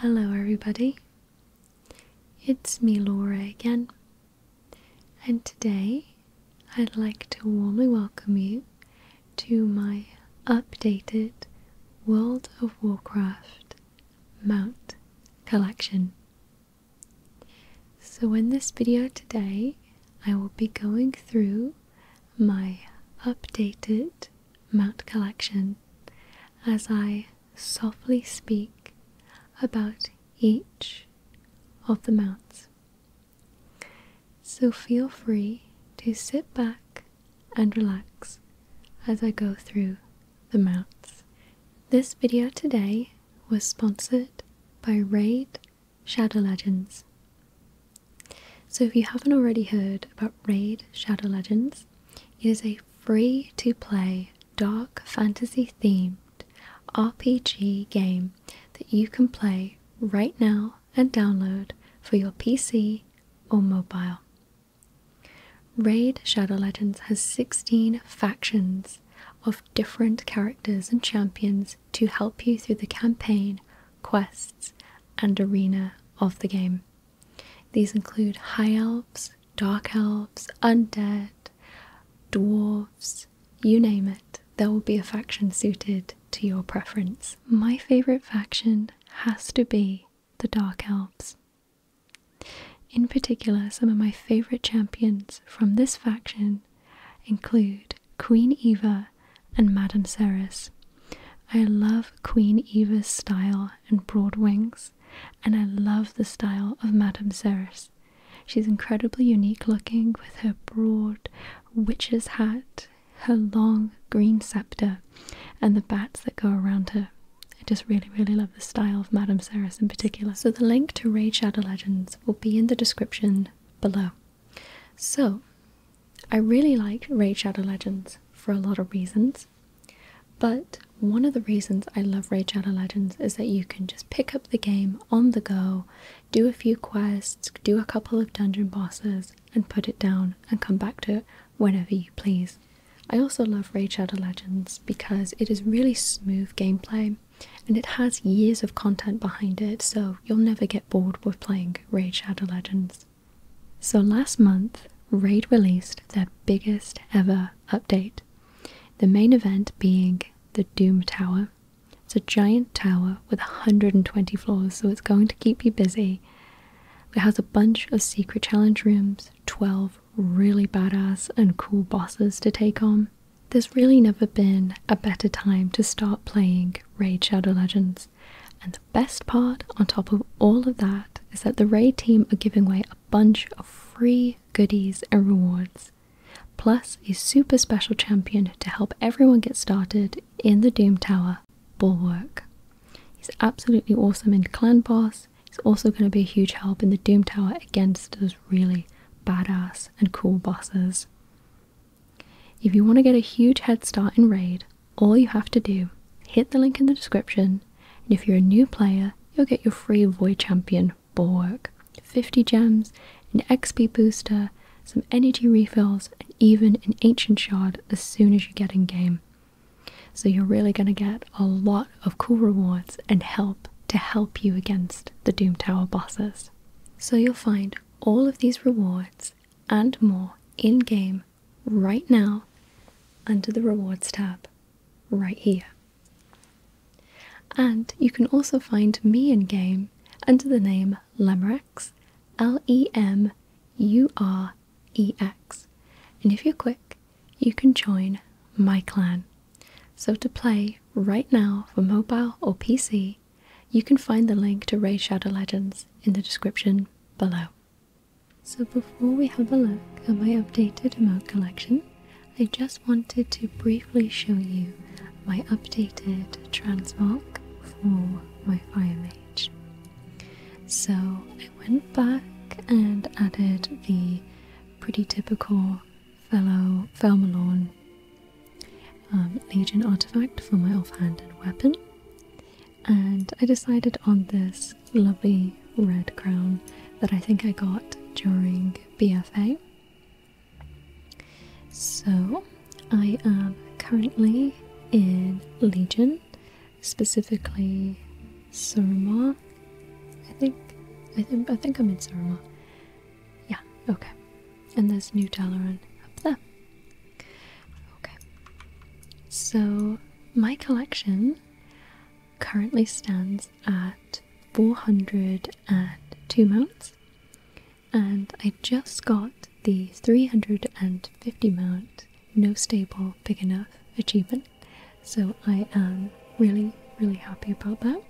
Hello, everybody. It's me, Laura, again, and today I'd like to warmly welcome you to my updated World of Warcraft mount collection. So, in this video today, I will be going through my updated Mount collection as I softly speak about each of the mounts. So feel free to sit back and relax as I go through the mounts. This video today was sponsored by Raid Shadow Legends. So, if you haven't already heard about Raid Shadow Legends, it is a free to play dark fantasy themed RPG game that you can play right now and download for your PC or mobile. Raid Shadow Legends has 16 factions of different characters and champions to help you through the campaign, quests, and arena of the game. These include high elves, dark elves, undead, dwarves, you name it. There will be a faction suited to your preference. My favorite faction has to be the Dark Elves. In particular, some of my favorite champions from this faction include Queen Eva and Madame Ceres. I love Queen Eva's style and broad wings, and I love the style of Madame Ceres. She's incredibly unique looking with her broad witch's hat, her long green scepter, and the bats that go around her. I just really, really love the style of Madame Ceres in particular. So the link to Raid Shadow Legends will be in the description below. So, I really liked Raid Shadow Legends for a lot of reasons, but one of the reasons I love Raid Shadow Legends is that you can just pick up the game on the go, do a few quests, do a couple of dungeon bosses, and put it down and come back to it whenever you please. I also love Raid Shadow Legends because it is really smooth gameplay and it has years of content behind it, so you'll never get bored with playing Raid Shadow Legends. So last month, Raid released their biggest ever update. The main event being the Doom Tower. It's a giant tower with 120 floors, so it's going to keep you busy. It has a bunch of secret challenge rooms, 12 really badass and cool bosses to take on. There's really never been a better time to start playing Raid Shadow Legends, and Best part, on top of all of that, is that the raid team are giving away a bunch of free goodies and rewards, plus a super special champion to help everyone get started in the Doom Tower, Bulwark. He's absolutely awesome in Clan Boss. He's also going to be a huge help in the Doom Tower against those really badass and cool bosses. If you want to get a huge head start in Raid, all you have to do, hit the link in the description, and if you're a new player, you'll get your free Void Champion Bulwark, 50 gems, an XP booster, some energy refills, and even an Ancient Shard as soon as you get in game. So you're really going to get a lot of cool rewards and help to help you against the Doom Tower bosses. So you'll find all of these rewards and more in game right now under the rewards tab right here. And you can also find me in game under the name Lemrex, L E M U R E X. And if you're quick, you can join my clan. So to play right now for mobile or PC, you can find the link to Ray Shadow Legends in the description below. So, before we have a look at my updated emote collection, I just wanted to briefly show you my updated transmark for my Fire Mage. So, I went back and added the pretty typical fellow Felmalorn um, Legion artifact for my offhanded weapon. And I decided on this lovely red crown that I think I got during BFA. So I am currently in Legion, specifically Suramar. I think I think I think I'm in Suramar. Yeah, okay and this new Dalaran up there. Okay, so my collection currently stands at 402 mounts, and I just got the 350 mount no stable big enough achievement, so I am really, really happy about that.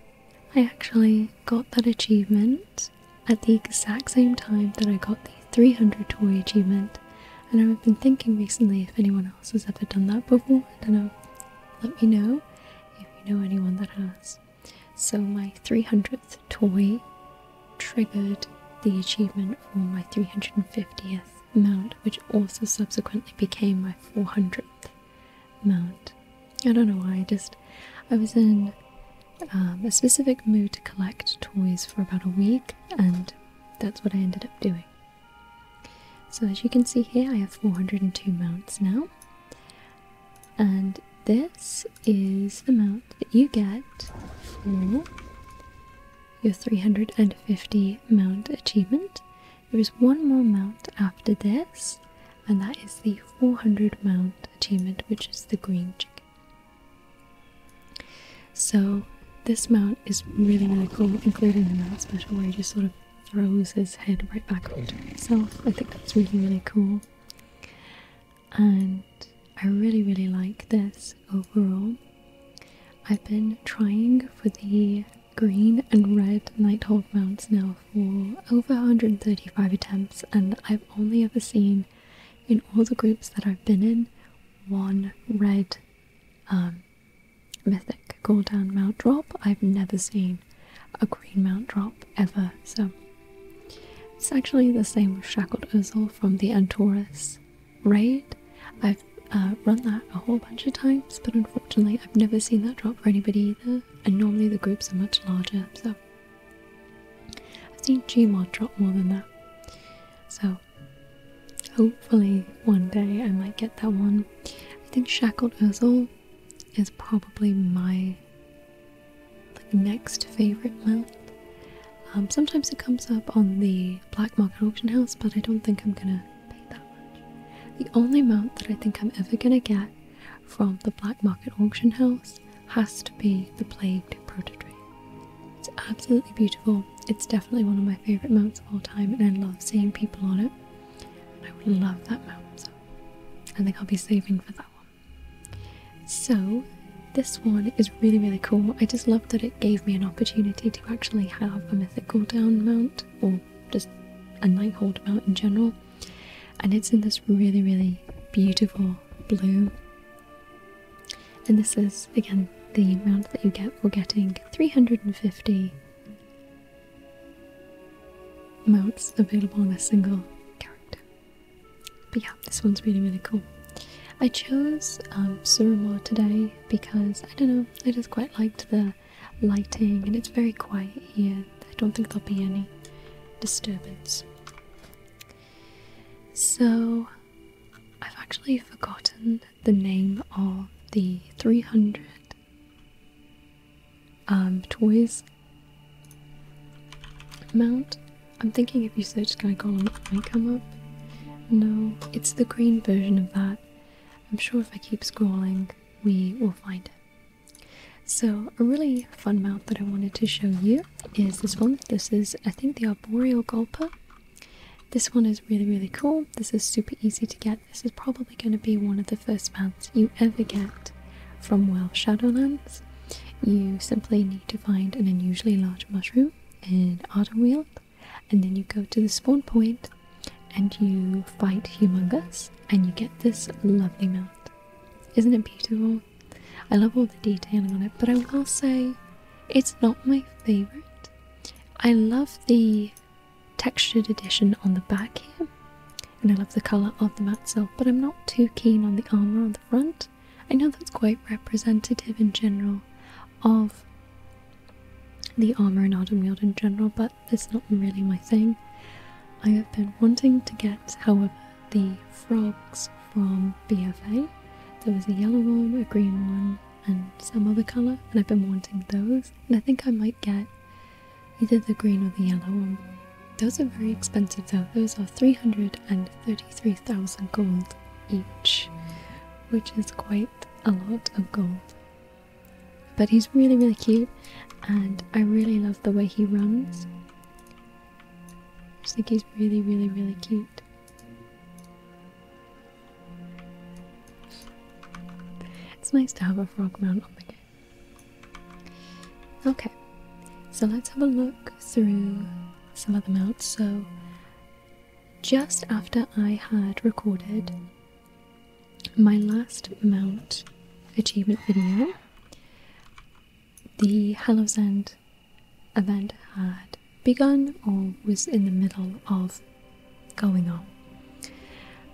I actually got that achievement at the exact same time that I got the 300 toy achievement. And I've been thinking recently if anyone else has ever done that before. I don't know. Let me know if you know anyone that has. So my 300th toy triggered the achievement for my 350th mount, which also subsequently became my 400th mount. I don't know why. I just I was in um, a specific mood to collect toys for about a week, and that's what I ended up doing. So, as you can see here, I have 402 mounts now, and this is the mount that you get for your 350 mount achievement. There is one more mount after this, and that is the 400 mount achievement, which is the green chip. So this mount is really really cool, including the mount special where he just sort of throws his head right back onto himself. I think that's really really cool. And I really really like this overall. I've been trying for the green and red Nighthold mounts now for over 135 attempts and I've only ever seen in all the groups that I've been in, one red um, mythic mythic down mount drop. I've never seen a green mount drop ever, so it's actually the same with Shackled Ozil from the Antorus raid. I've uh, run that a whole bunch of times, but unfortunately, I've never seen that drop for anybody either, and normally the groups are much larger, so I've seen Gmod drop more than that. So hopefully one day I might get that one. I think Shackled Earthall is probably my like next favorite mount. Um, sometimes it comes up on the black market auction house, but I don't think I'm gonna pay that much. The only mount that I think I'm ever gonna get from the black market auction house has to be the Plagued Prototree. It's absolutely beautiful. It's definitely one of my favourite mounts of all time, and I love seeing people on it. I love that mount, I think I'll be saving for that one. So, this one is really, really cool. I just love that it gave me an opportunity to actually have a Mythic cooldown mount, or just a Nighthold mount in general. And it's in this really, really beautiful blue. And this is, again, the amount that you get for getting 350 mounts available on a single character. But yeah, this one's really, really cool. I chose um, today because, I don't know, I just quite liked the lighting and it's very quiet here. I don't think there'll be any disturbance. So, I've actually forgotten the name of the 300 um, toys mount. I'm thinking if you search Glycolon it might come up. No, it's the green version of that. I'm sure if I keep scrolling we will find it. So a really fun mount that I wanted to show you is this one. This is I think the Arboreal Gulpa. This one is really really cool. This is super easy to get. This is probably going to be one of the first mounts you ever get from Well Shadowlands. You simply need to find an unusually large mushroom in Ardenweald and then you go to the spawn point and you fight Humongous and you get this lovely mount. Isn't it beautiful? I love all the detailing on it, but I will say it's not my favorite. I love the textured edition on the back here, and I love the color of the mat silk, but I'm not too keen on the armor on the front. I know that's quite representative in general of the armor and autumn Wield in general, but that's not really my thing. I have been wanting to get, however, the frogs from BFA. There was a yellow one, a green one, and some other colour, and I've been wanting those. And I think I might get either the green or the yellow one. Those are very expensive though. Those are 333,000 gold each, which is quite a lot of gold. But he's really, really cute, and I really love the way he runs. I just think he's really, really, really cute. It's nice to have a frog mount on the game. Okay, so let's have a look through some of the mounts. So, just after I had recorded my last mount achievement video, the Hallows event had begun or was in the middle of going on.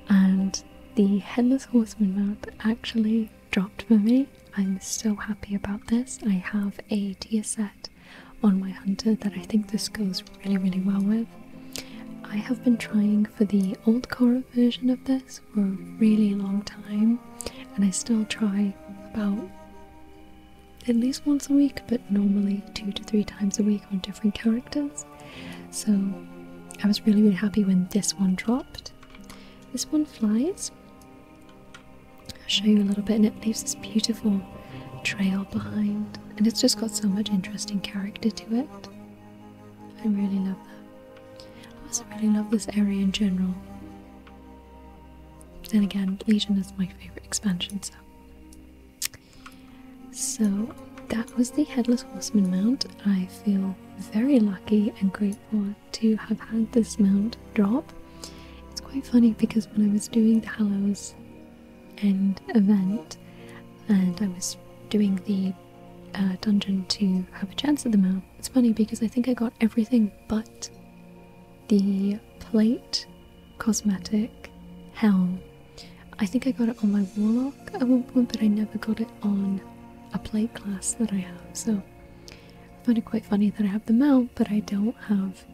And the Headless Horseman map actually dropped for me. I'm so happy about this. I have a tier set on my hunter that I think this goes really, really well with. I have been trying for the old core version of this for a really long time, and I still try about at least once a week, but normally two to three times a week on different characters. So I was really, really happy when this one dropped. This one flies. I'll show you a little bit, and it leaves this beautiful trail behind, and it's just got so much interesting character to it. I really love that. I also really love this area in general. Then again, Legion is my favourite expansion, so. So that was the Headless Horseman mount. I feel very lucky and grateful to have had this mount drop. It's quite funny because when I was doing the Halos, End event and I was doing the uh, dungeon to have a chance at the mount, it's funny because I think I got everything but the plate, cosmetic, helm. I think I got it on my warlock at one point, but I never got it on a plate class that I have. So I find it quite funny that I have the mount, but I don't have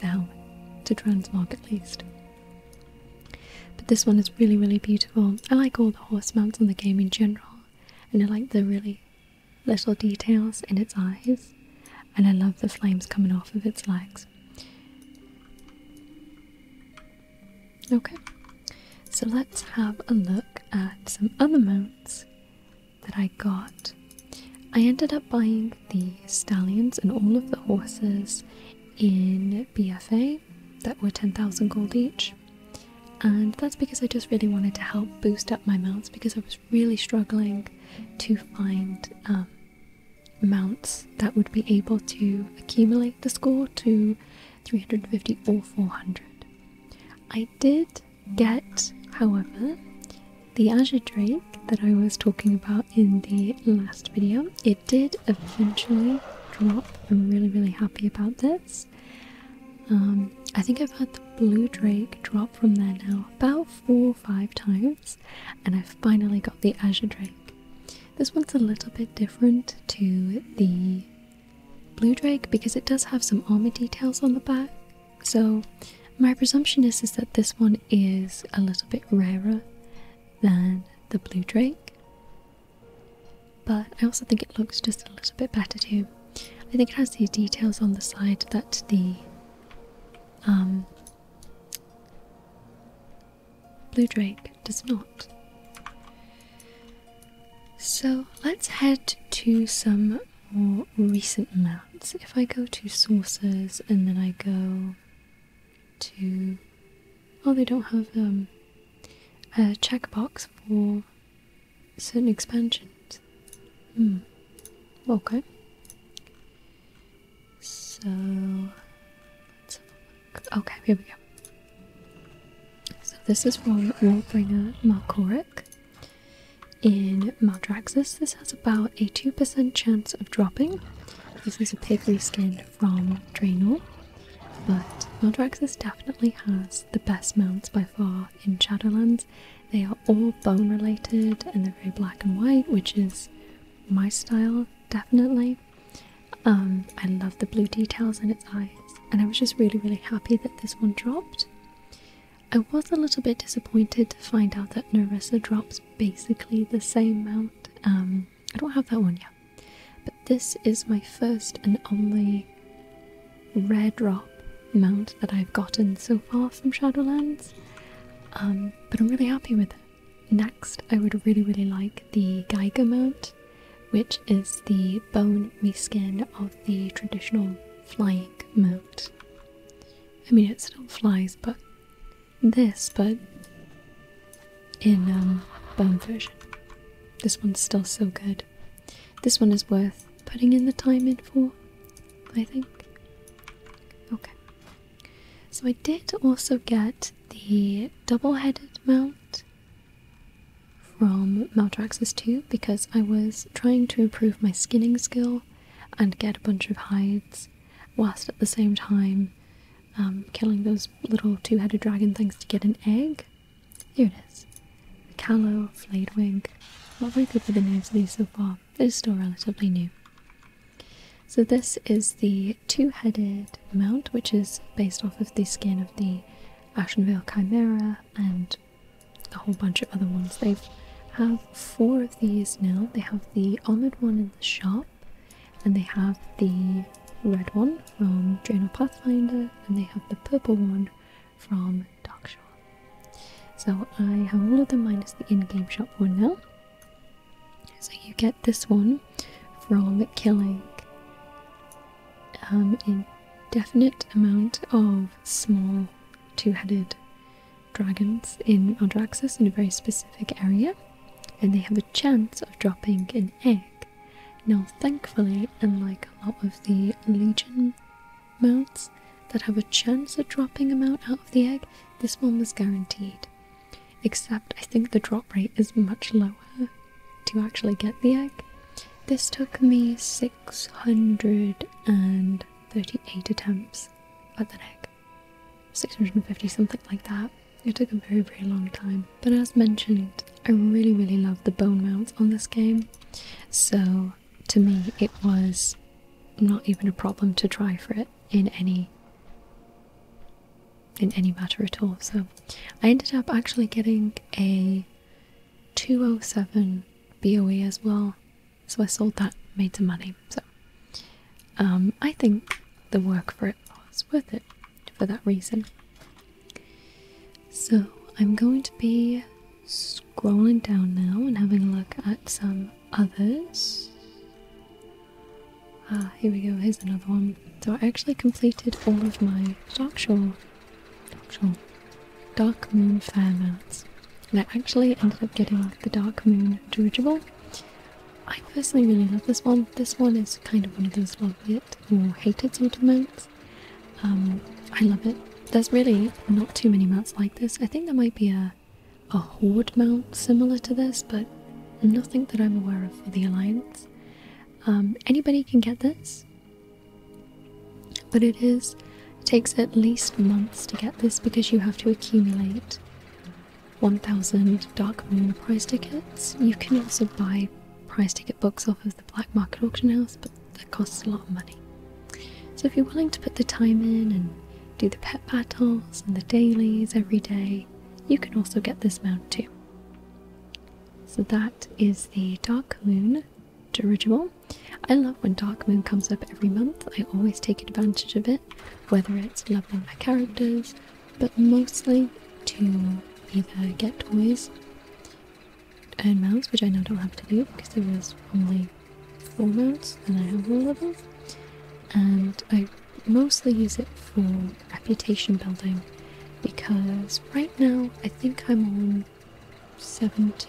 the helm to transmog at least. But this one is really, really beautiful. I like all the horse mounts in the game in general, and I like the really little details in its eyes, and I love the flames coming off of its legs. Okay, so let's have a look at some other mounts that I got. I ended up buying the stallions and all of the horses in BFA that were 10,000 gold each. And that's because I just really wanted to help boost up my mounts because I was really struggling to find um, mounts that would be able to accumulate the score to 350 or 400. I did get, however, the Azure Drake that I was talking about in the last video. It did eventually drop. I'm really, really happy about this. Um, I think I've had the blue drake drop from there now about four or five times, and I've finally got the azure drake. This one's a little bit different to the blue drake because it does have some armor details on the back. So my presumption is, is that this one is a little bit rarer than the blue drake but I also think it looks just a little bit better too. I think it has these details on the side that the um, blue drake does not. So let's head to some more recent mounts. If I go to sources and then I go to oh they don't have um, a checkbox for certain expansions. Hmm. Okay. So Okay, here we go. So this is from Warbringer Malkoric. In Maldraxxus, this has about a 2% chance of dropping. This is a pigly skin from Draenor, but Maldraxxus definitely has the best mounts by far in Shadowlands. They are all bone related and they're very black and white, which is my style, definitely. Um, I love the blue details in its eyes, and I was just really, really happy that this one dropped. I was a little bit disappointed to find out that Nerissa drops basically the same amount. Um, I don't have that one yet, this is my first and only rare drop mount that I've gotten so far from Shadowlands. Um, but I'm really happy with it. Next, I would really, really like the Geiger mount, which is the bone reskin of the traditional flying mount. I mean, it still flies, but this, but in um, bone version. This one's still so good. This one is worth putting in the time in for, I think. Okay. So I did also get the double-headed mount from Maltraxis 2 because I was trying to improve my skinning skill and get a bunch of hides whilst at the same time um, killing those little two-headed dragon things to get an egg here it is. the Callow, flayed wing. Not very good for the names of these so far. It is still relatively new. So this is the two-headed mount, which is based off of the skin of the Ashenvale Chimera and a whole bunch of other ones. They have four of these now. They have the armored one in the shop, and they have the red one from Draenor Pathfinder, and they have the purple one from Darkshore. So I have all of them minus the in-game shop one now. So you get this one from killing um, definite amount of small two-headed dragons in Aldraxxus in a very specific area, and they have a chance of dropping an egg now, thankfully, unlike a lot of the Legion mounts that have a chance of dropping a mount out of the egg, this one was guaranteed. Except I think the drop rate is much lower to actually get the egg. This took me 638 attempts at the egg. 650, something like that. It took a very, very long time. But as mentioned, I really, really love the bone mounts on this game, so to me, it was not even a problem to try for it in any in any matter at all. So I ended up actually getting a 207 BOE as well. So I sold that, made some money. So um, I think the work for it was worth it for that reason. So, I'm going to be scrolling down now and having a look at some others. Ah, here we go, here's another one. So, I actually completed all of my Dark Shore, Dark, Moon Fair And I actually ended up getting the Dark Moon Dirigible. I personally really love this one. This one is kind of one of those love yet more hated sort of mounts. Um, I love it. There's really not too many mounts like this. I think there might be a a horde mount similar to this, but nothing that I'm aware of for the Alliance. Um, anybody can get this, but it is takes at least months to get this because you have to accumulate 1,000 Dark Moon prize tickets. You can also buy prize ticket books off of the black market auction house, but that costs a lot of money. So if you're willing to put the time in and do the pet battles and the dailies every day, you can also get this mount too. So that is the Dark Moon dirigible. I love when Dark Moon comes up every month. I always take advantage of it, whether it's leveling my characters, but mostly to either get toys and mounts, which I now don't have to do because there was only four mounts and I have all of them. And I mostly use it for reputation building because right now I think I'm on 70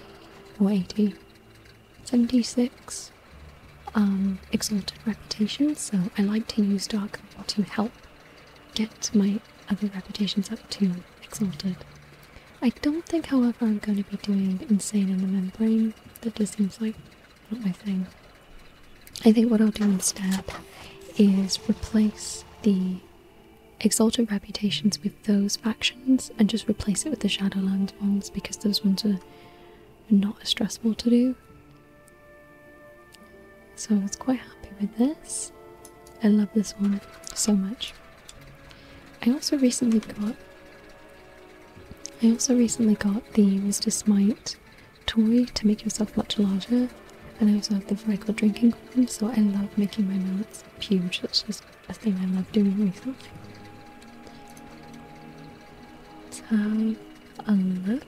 or 80, 76 um, exalted reputation, so I like to use Dark Lore to help get my other reputations up to Exalted. I don't think, however, I'm going to be doing Insane in the Membrane. That just seems like not my thing. I think what I'll do instead is replace the Exalted reputations with those factions and just replace it with the Shadowlands ones because those ones are not as stressful to do. So I was quite happy with this. I love this one so much. I also recently got I also recently got the Mr. Smite toy to make yourself much larger. And I also have the regular drinking horn. so I love making my mouths huge. That's just a thing I love doing myself. Let's have a look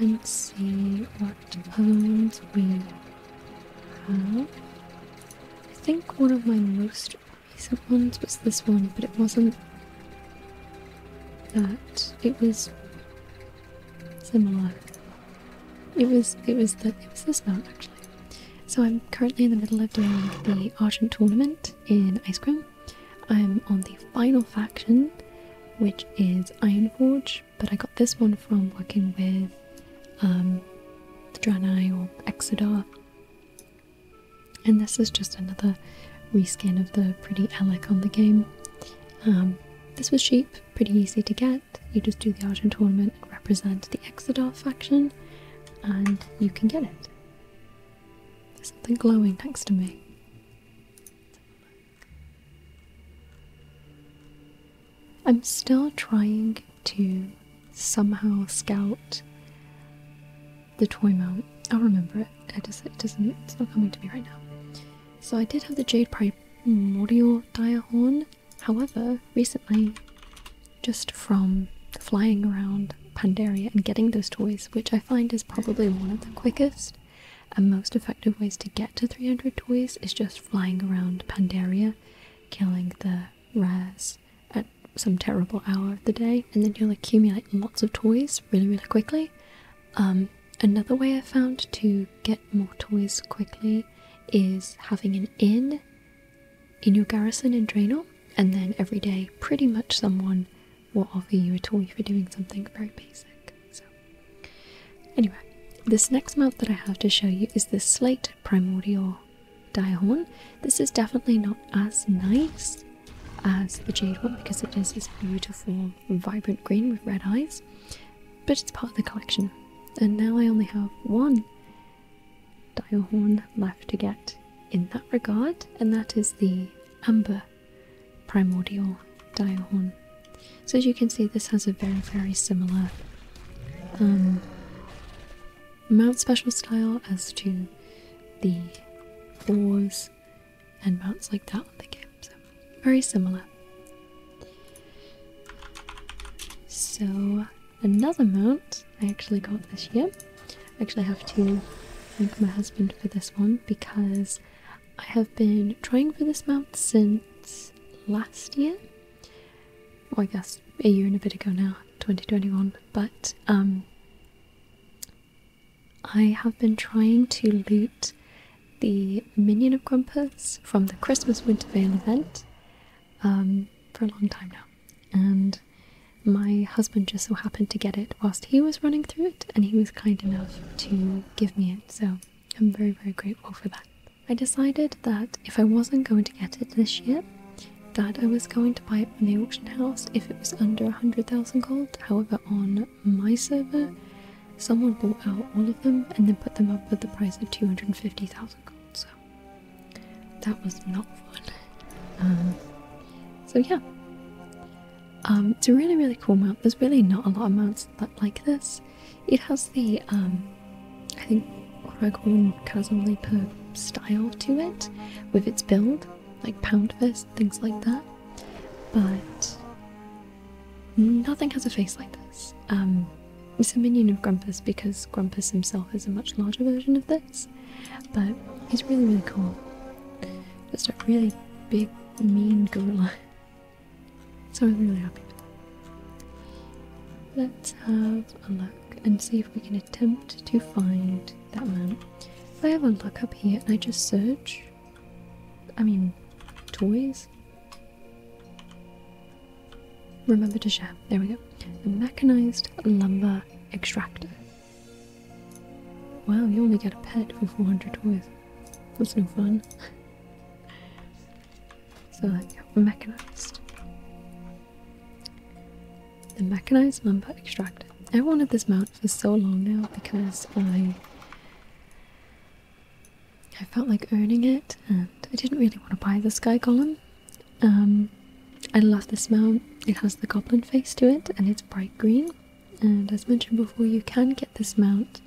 and see what poems we have. I think one of my most recent ones was this one, but it wasn't that. It was similar. It was it was that it was this one actually. So I'm currently in the middle of doing the Argent tournament in Ice Cream. I'm on the final faction, which is Ironforge, but I got this one from working with um, the Draenei or Exodar. And this is just another reskin of the pretty Alec on the game. Um, this was cheap, pretty easy to get. You just do the Argent tournament and represent the Exodar faction, and you can get it. There's something glowing next to me. I'm still trying to somehow scout the toy mount. i remember it. It, is, it doesn't. It's not coming to me right now. So I did have the Jade Primordial Horn. However, recently just from flying around Pandaria and getting those toys, which I find is probably one of the quickest and most effective ways to get to 300 toys is just flying around Pandaria, killing the rares at some terrible hour of the day, and then you'll accumulate lots of toys really, really quickly. Um, another way I found to get more toys quickly is having an inn in your garrison in Draenor, and then every day, pretty much someone will offer you a toy for doing something very basic. So, anyway, this next mount that I have to show you is the Slate Primordial Direhorn. This is definitely not as nice as the Jade one because it is this beautiful, vibrant green with red eyes, but it's part of the collection. And now I only have one Dialhorn left to get in that regard, and that is the Amber Primordial Dialhorn. So as you can see, this has a very, very similar um, mount special style as to the boars and mounts like that on the game. So very similar. So another mount I actually got this year. I actually have to thank my husband for this one because I have been trying for this mount since last year. Well, I guess a year and a bit ago now, 2021, but um, I have been trying to loot the Minion of Grumpus from the Christmas Wintervale event um, for a long time now, and my husband just so happened to get it whilst he was running through it, and he was kind enough to give me it, so I'm very, very grateful for that. I decided that if I wasn't going to get it this year, that I was going to buy it from the auction house if it was under a 100,000 gold. However, on my server, someone bought out all of them and then put them up at the price of 250,000 gold, so that was not fun. Uh, so yeah. Um, it's a really, really cool mount. There's really not a lot of mounts like this. It has the, um, I think, Oregon Chasm Leaper style to it with its build, like Pound Fist, things like that. But nothing has a face like this. Um, it's a minion of Grumpus because Grumpus himself is a much larger version of this. But he's really, really cool. Just a really big, mean gorilla. So I'm really happy. Let's have a look and see if we can attempt to find that man. If I have a look up here and I just search, I mean, toys. Remember to shop. There we go. The mechanized lumber extractor. Wow, you only get a pet for 400 toys. That's no fun. so, like, mechanized. The mechanized lumber extractor. I wanted this mount for so long now because I. I felt like owning it, and I didn't really want to buy the sky column, um, I love this mount. It has the goblin face to it and it's bright green. And as mentioned before, you can get this mount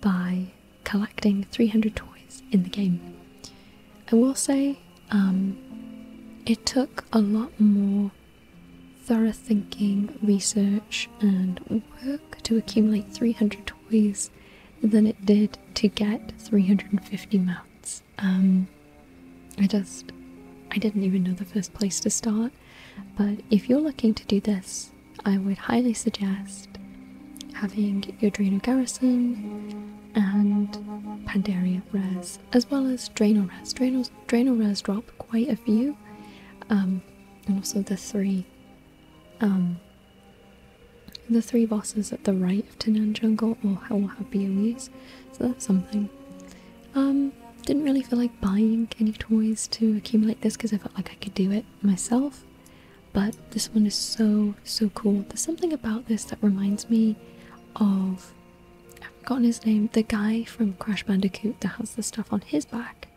by collecting 300 toys in the game. I will say um, it took a lot more thorough thinking, research, and work to accumulate 300 toys than it did to get 350 mounts. Um, I just I didn't even know the first place to start. But if you're looking to do this, I would highly suggest having your Eudrino Garrison and Pandaria Res, as well as Draenor Res. Draenor, Draenor Res drop quite a few, um, and also the three, um, the three bosses at the right of in jungle or how happy it is. So that's something. Um, didn't really feel like buying any toys to accumulate this because I felt like I could do it myself. But this one is so so cool. There's something about this that reminds me of I've forgotten his name, the guy from Crash Bandicoot that has the stuff on his back.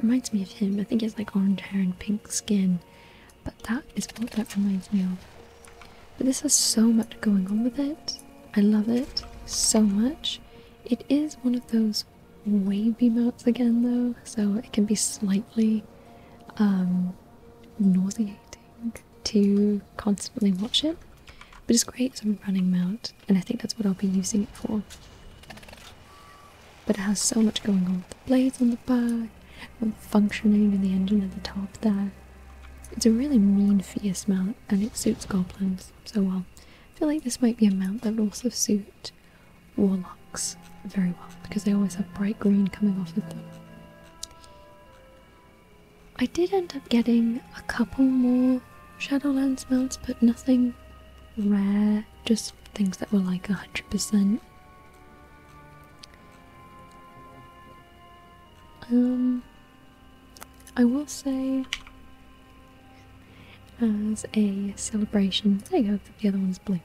Reminds me of him. I think he has like orange hair and pink skin. But that is what that reminds me of. But this has so much going on with it. I love it so much. It is one of those wavy mounts again, though, so it can be slightly um, nauseating to constantly watch it. But it's great as a running mount, and I think that's what I'll be using it for. But it has so much going on with the blades on the back, the functioning, and the engine at the top there. It's a really mean fierce mount and it suits goblins so well. I feel like this might be a mount that would also suit warlocks very well because they always have bright green coming off of them. I did end up getting a couple more Shadowlands mounts, but nothing rare, just things that were like 100%. Um, I will say, as a celebration, there you go, the other one's blue.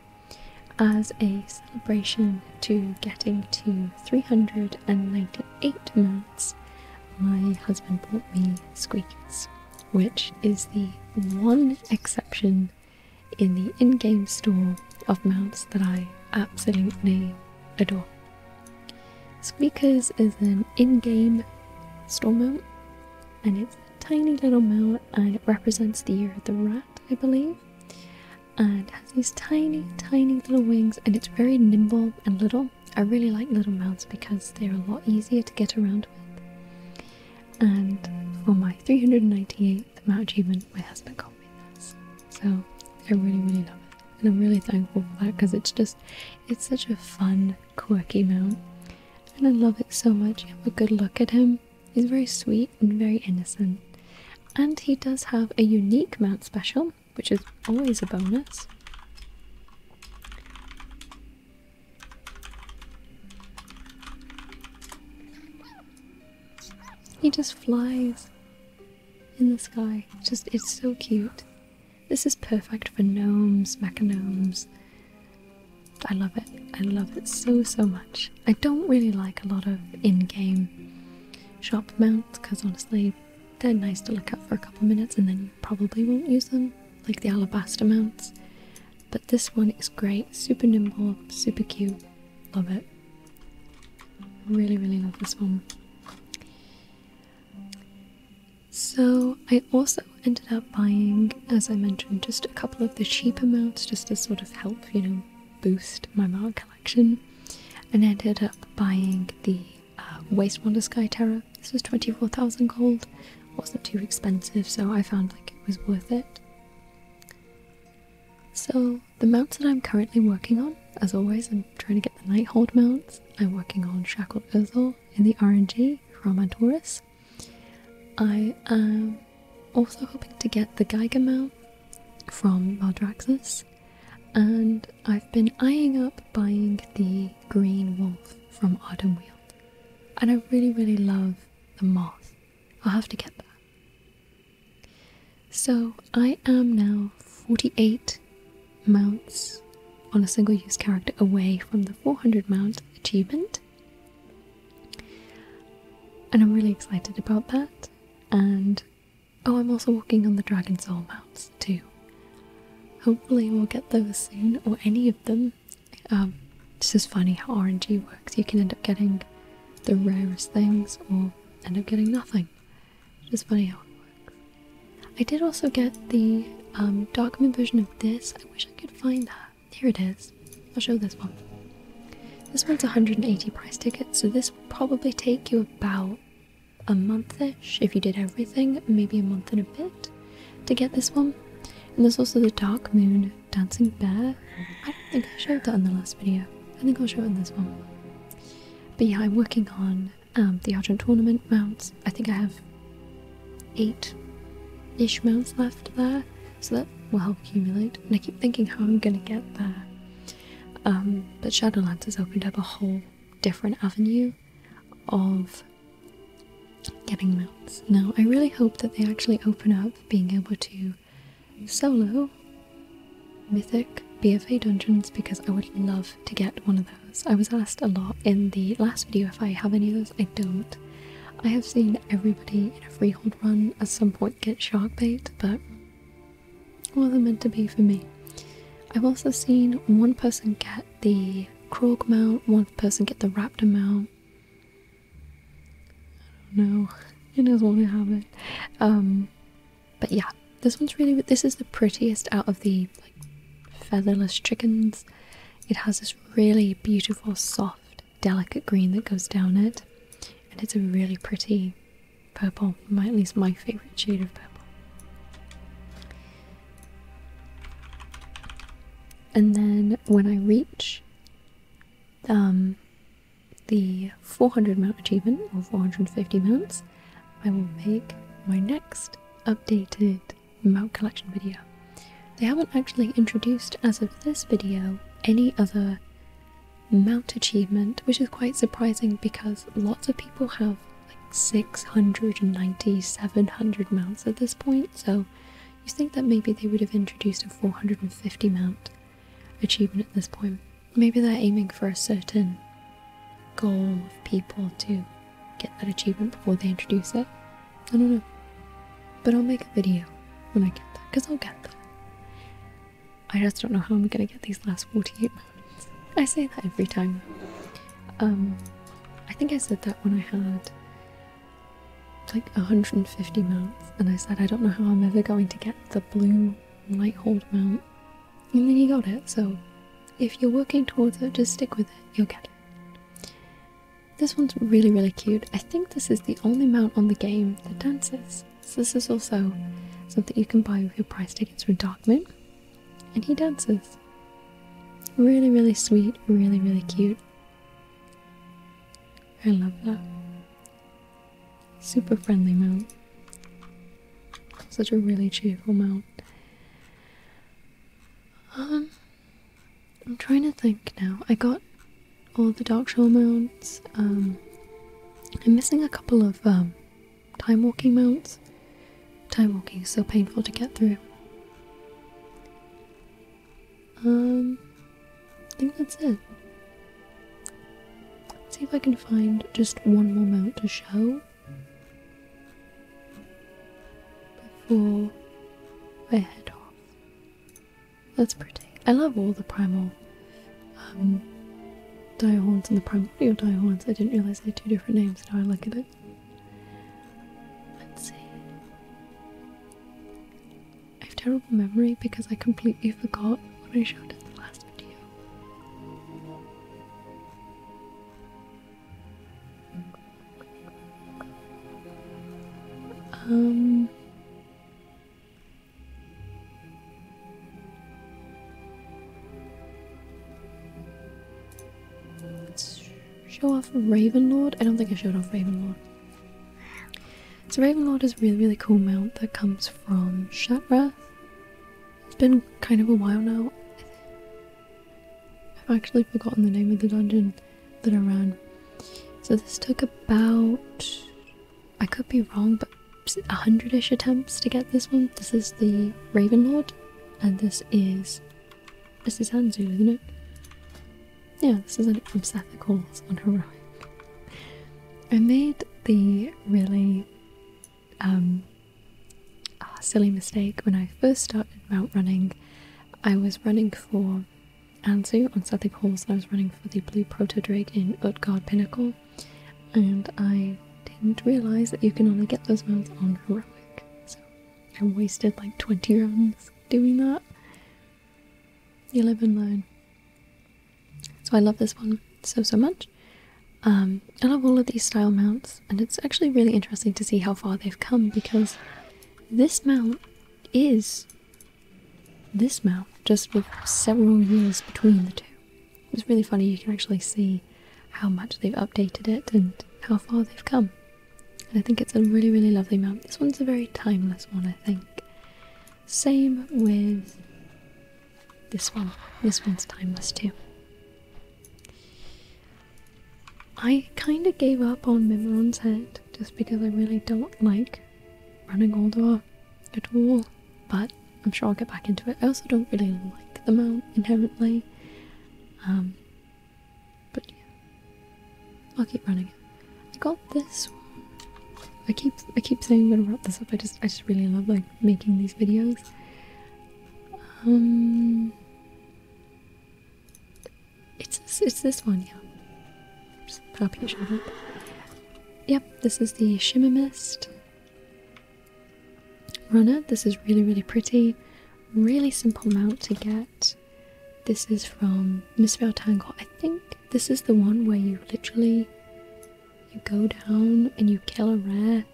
As a celebration to getting to 398 mounts, my husband bought me Squeakers, which is the one exception in the in game store of mounts that I absolutely adore. Squeakers is an in-game store mount, and it's a tiny little mount, and it represents the year of the rat, I believe. And has these tiny, tiny little wings, and it's very nimble and little. I really like little mounts because they're a lot easier to get around with. And for my 398th mount achievement, my husband got so I really, really love it. And I'm really thankful for that because it's just, it's such a fun, quirky mount. And I love it so much. You have a good look at him. He's very sweet and very innocent. And he does have a unique mount special, which is always a bonus. He just flies in the sky. just it's so cute. This is perfect for gnomes, mecha gnomes. I love it. I love it so so much. I don't really like a lot of in-game shop mounts because honestly, they're nice to look at for a couple minutes and then you probably won't use them, like the alabaster mounts. But this one is great, super nimble, super cute. Love it. Really, really love this one. So, I also ended up buying, as I mentioned, just a couple of the cheap mounts, just to sort of help, you know, boost my manga collection. And ended up buying the uh, Waste Wonder Sky Terror. This was 24,000 gold. Wasn't too expensive, so I found like it was worth it. So the mounts that I'm currently working on, as always, I'm trying to get the Nighthold mounts. I'm working on Shackled Ozil in the RNG from Antorus. I am also hoping to get the Geiger mount from Maldraxxus, and I've been eyeing up buying the Green Wolf from Autumnweald. And I really, really love the moth. I'll have to get that. So I am now 48 mounts on a single use character away from the 400 mount achievement. And I'm really excited about that. And oh, I'm also working on the Dragon Soul mounts too. Hopefully, we'll get those soon, or any of them. Um, it's just funny how RNG works. You can end up getting the rarest things, or end up getting nothing. It's funny how it works. I did also get the um, document version of this. I wish I could find that. Here it is. I'll show this one. This one's 180 price tickets, so this would probably take you about a month-ish if you did everything, maybe a month and a bit to get this one. And there's also the Dark Moon Dancing Bear. I don't think I showed that in the last video. I think I'll show it in this one. But yeah, I'm working on um, the Argent Tournament mounts. I think I have eight ish mounts left there, so that will help accumulate. And I keep thinking how I'm gonna get there. Um, but Shadowlands has opened up a whole different avenue of getting mounts. Now, I really hope that they actually open up being able to solo mythic BFA dungeons because I would love to get one of those. I was asked a lot in the last video if I have any of those. I don't. I have seen everybody in a freehold run at some point get shark bait, but wasn't meant to be for me. I've also seen one person get the croc mount, one person get the Raptor mount. I don't know. It is want to have it. But yeah, this one's really this is the prettiest out of the featherless chickens. It has this really beautiful, soft, delicate green that goes down it, and it's a really pretty purple. at least my favorite shade of purple. And then when I reach um the 400 mount achievement or 450 mounts, I will make my next updated mount collection video. They haven't actually introduced, as of this video, any other mount achievement, which is quite surprising because lots of people have like 690, 700 mounts at this point, so you think that maybe they would have introduced a 450 mount achievement at this point. Maybe they're aiming for a certain goal of people to get that achievement before they introduce it. I don't know. But I'll make a video when I get that because I'll get that. I just don't know how I'm gonna get these last 48 moments. I say that every time. Um, I think I said that when I had like 150 mounts, and I said I don't know how I'm ever going to get the blue light hold mount, and then he got it. So, if you're working towards it, just stick with it, you'll get it. This one's really, really cute. I think this is the only mount on the game that dances. this is also something you can buy with your price tickets from Darkmoon, and he dances. Really, really sweet, really, really cute. I love that. Super friendly mount. Such a really cheerful mount. Um, I'm trying to think now. I got all the Darkshore mounts. Um, I'm missing a couple of um, time walking mounts. Time walking is so painful to get through. Um, I think that's it. Let's see if I can find just one more mount to show before I head off. That's pretty. I love all the primal um, diahorns and the primordial diahorns. I didn't realize they had two different names now I look at it. Let's see. I have terrible memory because I completely forgot what I showed at the last um show off Ravenlord. I don't think I showed off Ravenlord. So Ravenlord is a really, really cool mount that comes from Shatrath. It's been kind of a while now. I've actually forgotten the name of the dungeon that I ran. So this took about, I could be wrong, but 100-ish attempts to get this one. This is the Ravenlord, and this is, this is Anzu, isn't it? Yeah, this is an from Seth Calls on Heroic. I made the really um, ah, silly mistake when I first started mount running. I was running for Anzu on Southwick Halls and I was running for the Blue Protodrig in Utgard Pinnacle and I didn't realise that you can only get those mounts on heroic. So I wasted like 20 runs doing that. You live and learn. So I love this one so, so much. Um, I love all of these style mounts, and it's actually really interesting to see how far they've come because this mount is this mount, just with several years between the two. It's really funny, you can actually see how much they've updated it and how far they've come. And I think it's a really, really lovely mount. This one's a very timeless one, I think. Same with this one. This one's timeless too. I kind of gave up on Mimiron's head just because I really don't like running Goldor at all, but I'm sure I'll get back into it. I also don't really like the mount inherently, um, but I'll keep running it this one. I keep I keep saying I'm gonna wrap this up. I just I just really love like making these videos. Um, it's this, it's this one, yeah. Just popping it up. Yep, this is the Shimmer Mist runner. This is really really pretty. Really simple mount to get. This is from Miss Tangle. I think this is the one where you literally you go down and you kill a rare.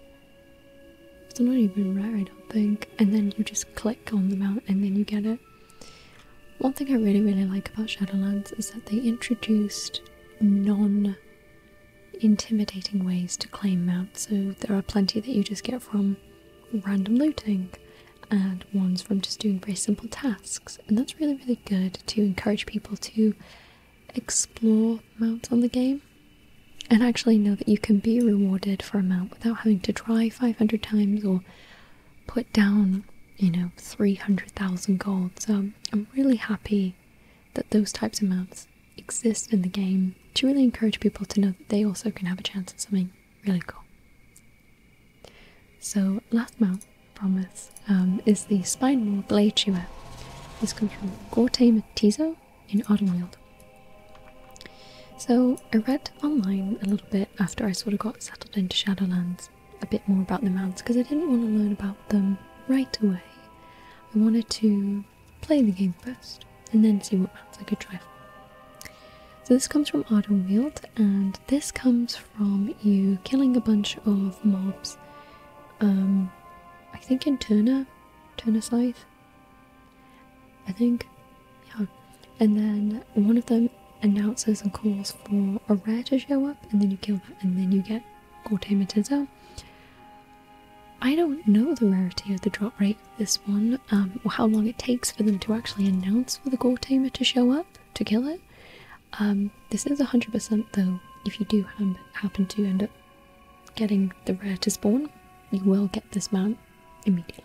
It's not even rare, I don't think. And then you just click on the mount and then you get it. One thing I really, really like about Shadowlands is that they introduced non intimidating ways to claim mounts. So there are plenty that you just get from random looting, and ones from just doing very simple tasks and that's really, really good to encourage people to explore mounts on the game and actually know that you can be rewarded for a mount without having to try 500 times or put down, you know, 300,000 gold. So um, I'm really happy that those types of mounts exist in the game to really encourage people to know that they also can have a chance at something really cool. So last mount, I promise, um, is the spinal glacier. This comes from Gorte Matizo in Autumnweald. So I read online a little bit after I sort of got settled into Shadowlands a bit more about the mounts because I didn't want to learn about them right away. I wanted to play the game first and then see what mounts I could try for. So this comes from Autumnweald and this comes from you killing a bunch of mobs. Um, I think in Turner, Turner Scythe. I think, yeah. And then one of them announces and calls for a rare to show up, and then you kill that, and then you get Gortamatizo. I don't know the rarity of the drop rate of this one, um, or how long it takes for them to actually announce for the Gortamer to show up to kill it. Um, this is 100% though, if you do happen to end up getting the rare to spawn, you will get this mount immediately.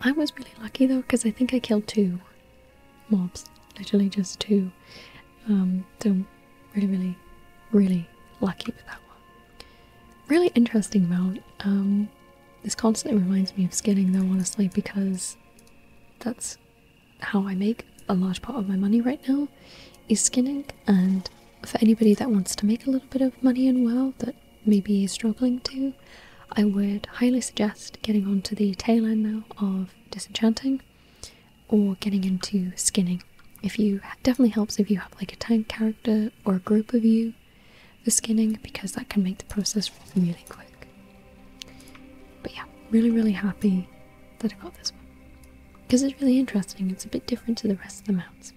I was really lucky though, because I think I killed two mobs, literally just two. Um, so really, really, really lucky with that one. Really interesting mount. Um, this constantly reminds me of skinning though, honestly, because that's how I make a large part of my money right now is skinning and for anybody that wants to make a little bit of money in WoW that maybe is struggling to, I would highly suggest getting onto the tail end now of disenchanting or getting into skinning. If you definitely helps if you have like a tank character or a group of you for skinning because that can make the process really quick. But yeah, really, really happy that I got this one because it's really interesting. It's a bit different to the rest of the mounts.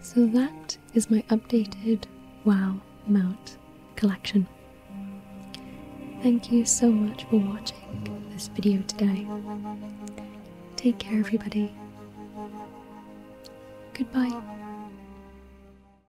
So that is my updated WoW mount collection. Thank you so much for watching this video today. Take care, everybody. Goodbye.